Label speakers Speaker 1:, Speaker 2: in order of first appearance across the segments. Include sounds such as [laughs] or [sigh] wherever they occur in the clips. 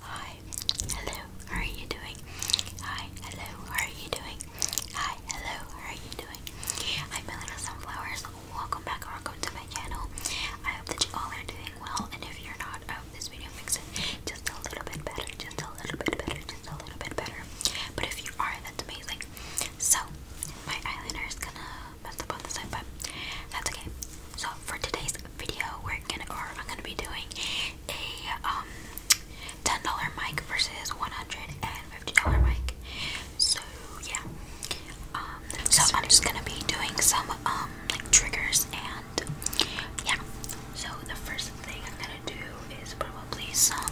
Speaker 1: Hi, hello, how are you doing? Hi, hello, how are you doing? Hi, hello, how are you doing? I'm Melina Sunflowers, welcome back welcome to my channel. I hope that you all are doing well, and if you're not, I hope this video makes it just a little bit better, just a little bit better, just a little bit better. But if you are, that's amazing. So, my eyeliner is gonna mess up on the side, but that's okay. So for today's video, we're gonna or I'm gonna be doing a um ten dollar mic versus one hundred and fifty dollar mic. So yeah, um, so I'm just gonna be doing some um like triggers and yeah. So the first thing I'm gonna do is probably some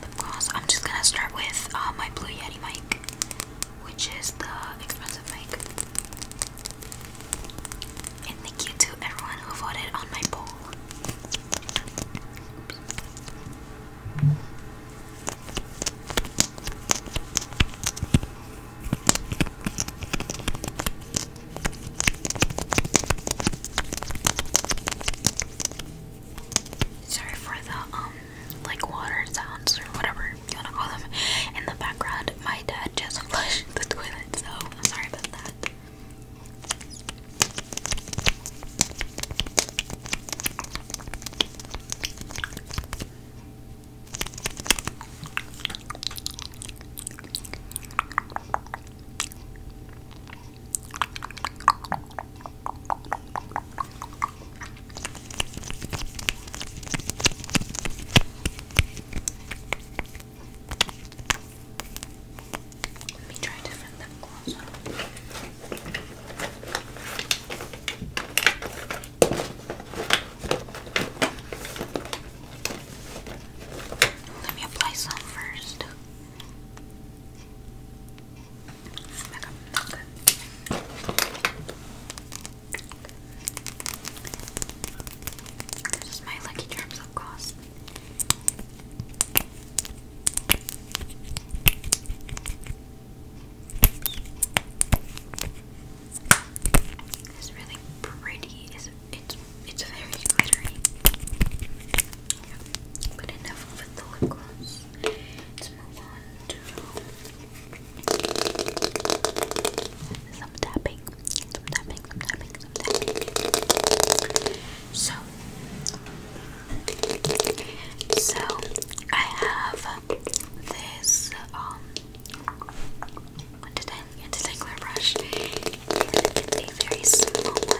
Speaker 1: lip gloss. I'm just gonna start with uh, my Blue Yeti mic which is the expensive mic. And thank you to everyone who voted on my poll. Sorry for the um like water sounds or whatever you wanna call them. In the background, my dad just [laughs] flushed the toilet, so I'm sorry about that. Let me try different lip gloss on. Let me apply some first. Back up. Okay. This is my Lucky Charms, of course. It's really pretty. It's it's it's very glittery. But enough with the lip gloss. Let's move on to some tapping, some tapping, some tapping, some tapping. So, so I have this um entangler brush, a very small one.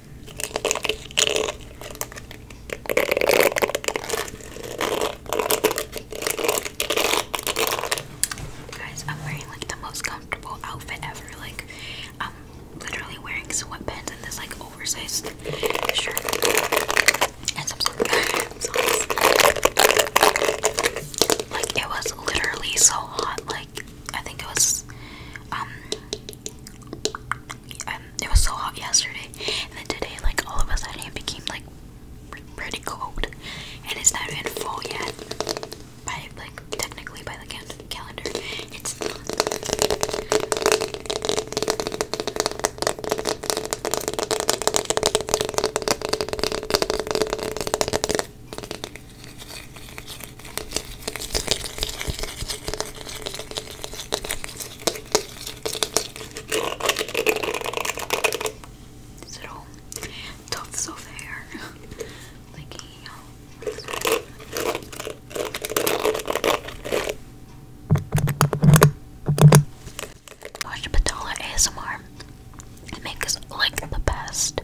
Speaker 1: Guys, I'm wearing like the most comfortable outfit ever. Like, I'm literally wearing sweatpants and this like oversized shirt [laughs] Like, it was literally so hot. Like, I think it was um, it was so hot yesterday, and then today, like all of a sudden, it became like pretty cold, and it's not even full yet. By like technically by the calendar, it's not. Is it all tufts of hair? [laughs] like, you ASMR. makes like the best.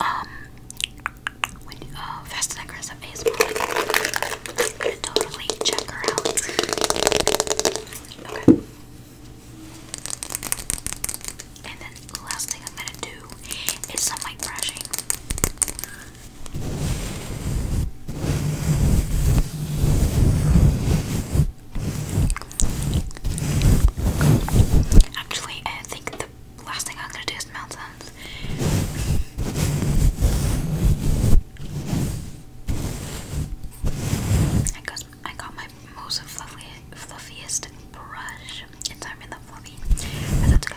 Speaker 1: Um, when uh, Fast and I'm gonna totally check her out. And then the last thing I'm gonna do is some mic brushing. Actually, I think the last thing I'm gonna do is mouth I got, my most fluffy, fluffiest brush. It's I'm in the fluffy, that's okay.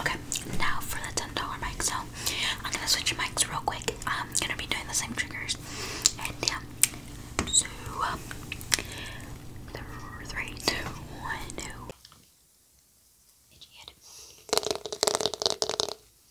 Speaker 1: Okay, now for the ten dollar mic. So I'm gonna switch mics real quick. I'm gonna be doing the same triggers, and yeah. So um, three, two, one, two. Itchy head.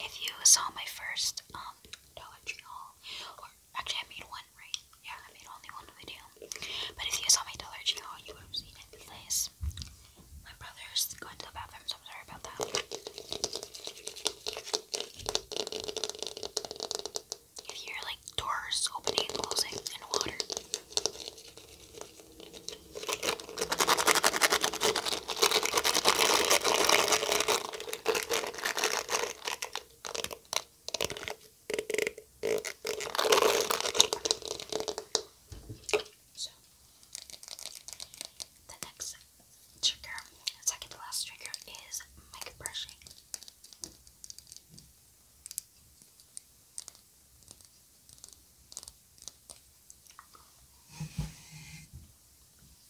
Speaker 1: If you saw my first um, Dollar Tree haul Actually, I made one, right? Yeah, I made only one video. But if you saw my dollar channel, you would have seen it my brother's going to the bathroom, so sorry about that. You hear like doors opening and closing and water. So, the next trigger, second to last trigger, is mic brushing.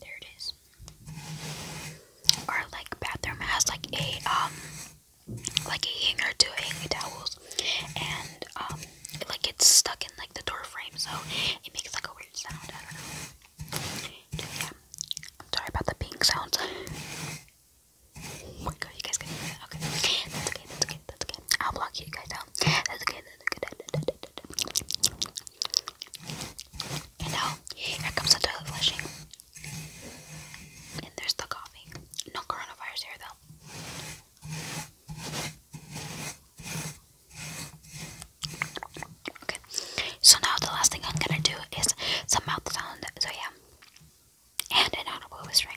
Speaker 1: There it is. Our like bathroom has like a um like a hanger to hang towels and um like it's stuck in like the door frame so it makes like a weird sound. sorry about the pink sounds. Oh my god, you guys can hear that. Okay. That's okay, that's okay that's okay. I'll block you guys out. That's okay, that's okay. And now, here comes the toilet flushing. And there's the coffee. No coronavirus here though. Okay, so now the last thing I'm gonna do is some mouth sound. So yeah, and an audible whispering.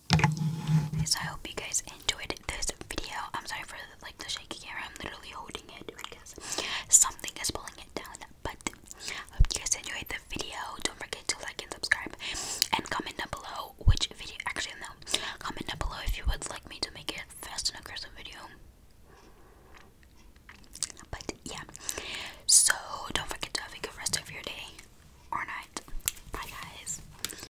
Speaker 1: so I hope you guys enjoyed this video. I'm sorry for like the shaky camera. I'm literally holding it because something is pulling it down. But I hope you guys enjoyed the video. Don't forget to like and subscribe and comment down below which video actually no. Comment down below if you would like me to make a fast and aggressive video. But yeah. So don't forget to have a good rest of your day or night. Bye guys.